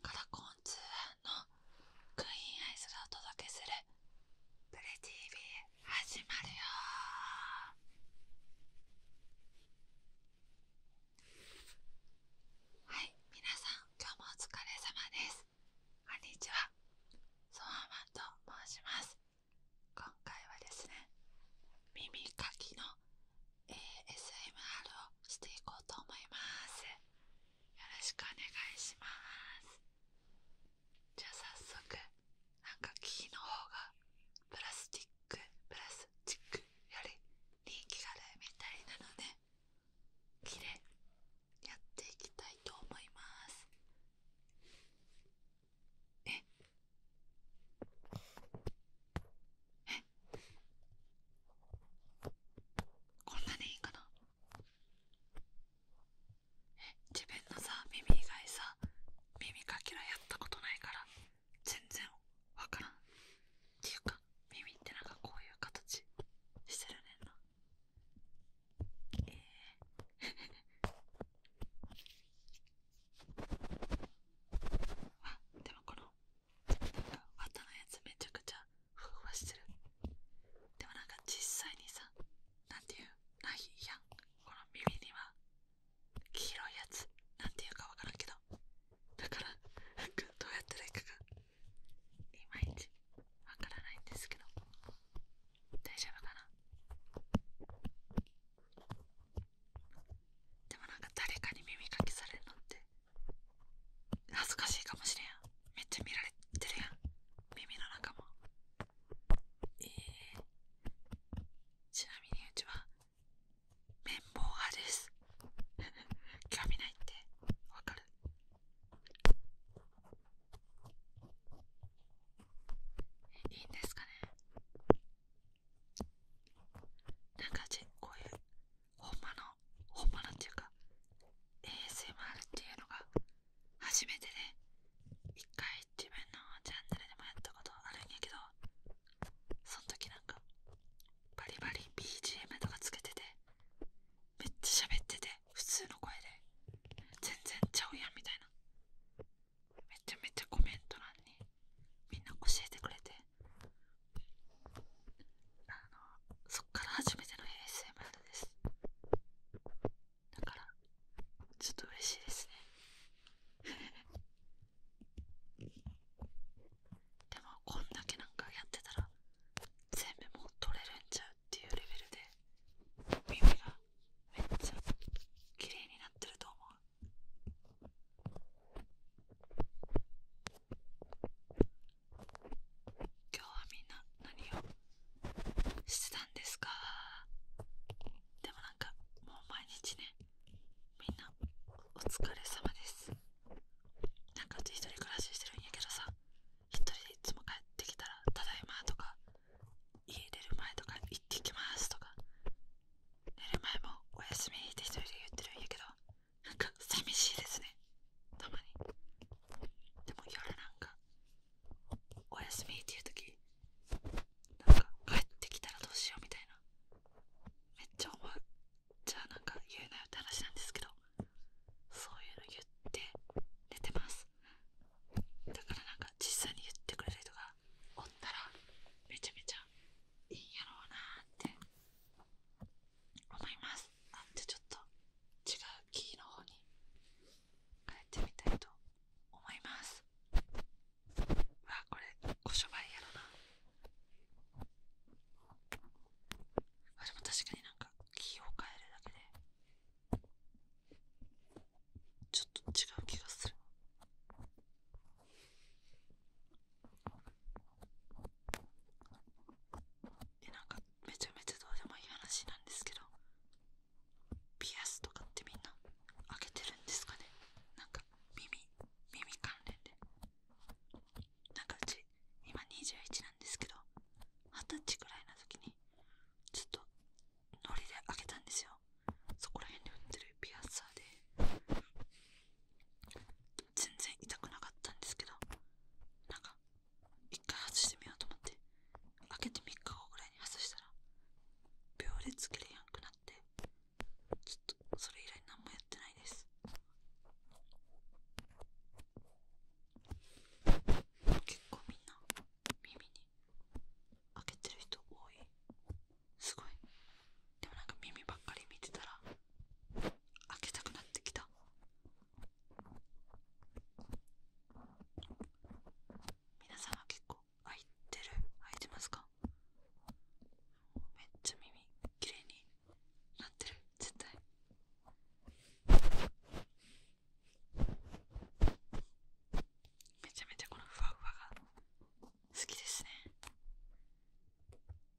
カラコン通販のクイーンアイスがお届けするプレ TV 始まるよはい、皆さん今日もお疲れ様ですこんにちは、ソワマンと申します今回はですね耳かきのえー、SMR をしていこうと思いますよろしくお願いしますじゃあ早速なんか木の方がプラスチックプラスチックより人気があるみたいなので木でやっていきたいと思いますええ。こんなにいいかなえ自分のさ耳以外さ耳かきはやったことないから全然わからんっていうか耳ってなんかこういう形してるねんなええー、あでもこの綿のやつめちゃくちゃふわふわしてるでもなんか実際にさなんていうないやこの耳には黄色いやつなんていうかわからんけどだからなどうやってないかがいまいちわからないんですけど大丈夫かなでもなんか誰かに耳かきされるのって恥ずかしいかもしれんめっちゃ見られてるやん耳の中もえー、ちなみにうちは綿棒派です 興味ないってわかるいいんですかねなんかこういうほんまのほんまのっていうか ASMR っていうのが初めてで、ね、一回自分のチャンネルでもやったことあるんやけどその時なんかバリバリ BGM とかつけててめっちゃ喋ってて普通の声で全然ちゃうやんみたいなめちゃめちゃコメント欄にみんな教えてくれてあのそっから初めての ASMR ですだからちょっと嬉しいですね でもこんだけなんかやってたら全部もう取れるんちゃうっていうレベルで耳がめっちゃ綺麗になってると思う今日はみんな何をしてたんですかでもなんかもう毎日ねみんなお疲れ様ですなんかうち一人暮らししてるんやけどさ一人でいつも帰ってきたら「ただいま」とか家出る前とか「行ってきます」とか寝る前も「おやすみ」って一人で言ってるんやけどなんか寂しいですねたまにでも夜なんかお休みっていう時なんか帰ってきたらどうしようみたいなめっちゃ思っちゃあなんか言えないって話なんですけどそういうの言って寝てますだからなんか実際に言ってくれる人がおったらめちゃめちゃいいんやろうなって思いますあじゃちょっと違うキーの方に変えてみたいと思いますうわこれこしょばりやろなあでも確かになんかキーを変えるだけでちょっと違う気がするえなんかめちゃめちゃどうでもいい話なんですけどピアスとかってみんな開けてるんですかねなんか耳耳関連でなんかうち今21なんですけど二十歳くらいの時にちょっとのりで開けたんですよそこら辺に売ってるピアスで全然痛くなかったんですけどなんか一回外してみようと思って開けて3日後ぐらいに外したら秒でつけれやんくなってちょっとそれ以来何もやってないです結構みんな耳に開けてる人多いすごいでもなんか耳ばっかり見てたら開けたくなってきた皆さんは結構開いてる開いてますかめっちゃ耳きれいになってる絶対めちゃめちゃこのふわふわが好きですね何を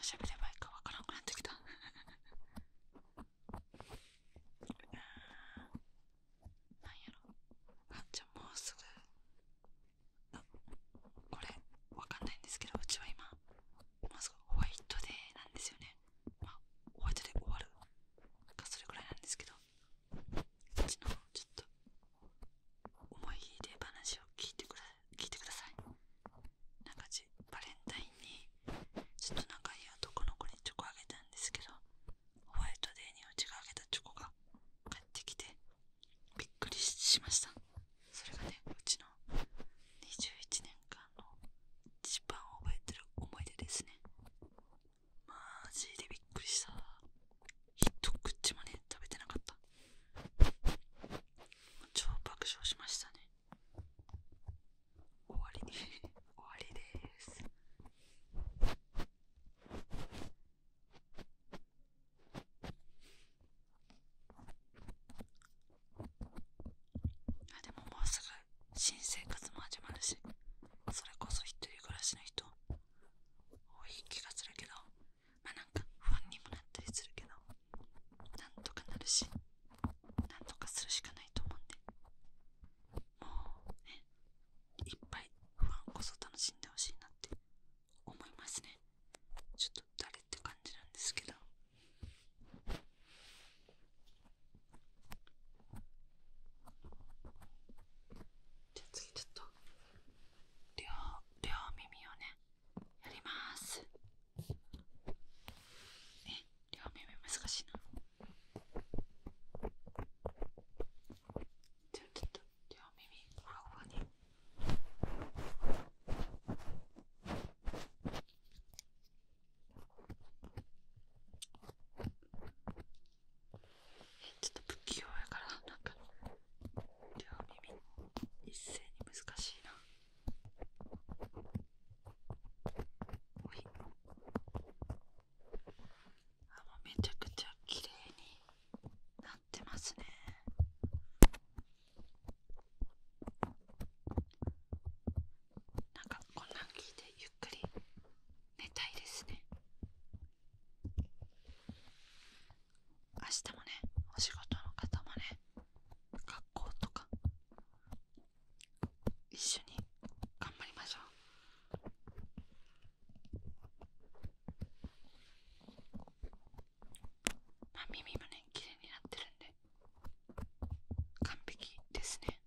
喋ればいいかわからなくなってきたなんやろあじゃあもうすぐこれわかんないんですけどうちは今ホワイトデーなんですよね。まあ、ホワイトで終わるなんかそれくらいなんですけど、そちのちょっと思い出話を聞いてくだ聞いてください。なんかじバレンタインにちょっと仲いい男の子にチョコあげたんですけど、ホワイトデーにうちがあげたチョコが帰ってきてびっくりしました。それがねうちの21年間の一番覚えてる思い出ですねマジでびっくりした一口もね食べてなかった超爆笑しましたね終わりに 終わりですあでももうすぐ新生活も始まるしそれこそ一人暮らしの人多い気がするけどまあなんか不安にもなったりするけどなんとかなるしなんとかするしかないと思うんでもうねいっぱい不安こそ楽しんでほしいなって思いますねちょっと誰って感じるんですけどじゃあ次ちょっと両両耳をねやりますえ両耳難しいなじゃあちょっと両耳ここに。ちょっと不器用やからなんか両耳一斉に難しいなあもうめちゃくちゃ綺麗になってますねなんかこんなん聞いてゆっくり寝たいですね明日もねお仕事の方もね学校とか一緒に頑張りましょうまあ、耳もね、綺麗になってるんで、完璧ですね。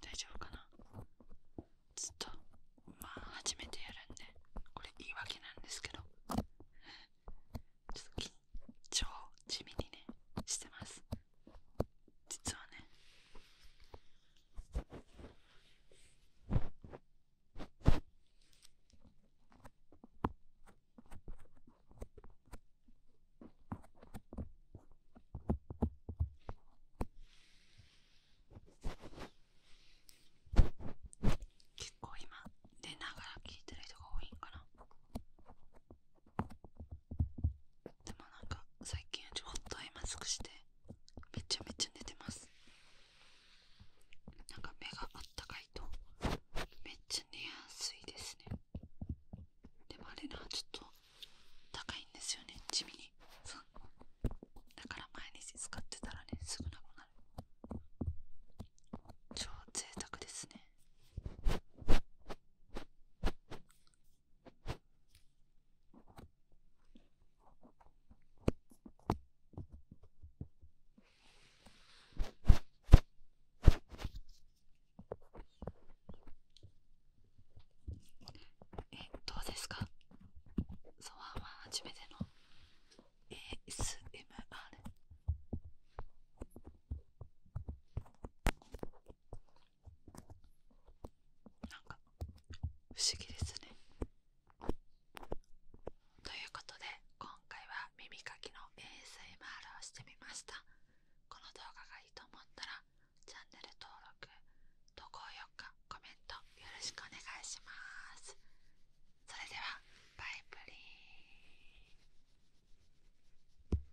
大丈夫かなずっと、まあ、初めてやるんで、これ言い訳なんですけど、ちょっと緊張地味にね、してます。実はね結構今出ながら聞いてる人が多いんかなでもなんか最近よりホットアイマスクしてめちゃめちゃ寝てますなんか目があったかいとめっちゃ寝やすいですねでもあれなちょっと高いんですよね地味にそうだから毎日使ってたらねすぐなくなる超贅沢ですねえどうですかソワンは初めての ASMR なんか不思議ですねということで今回は耳かきの ASMR をしてみましたこの動画がいいと思ったらチャンネル登録と高評価コメントよろしくお願いしますそれではバイプリー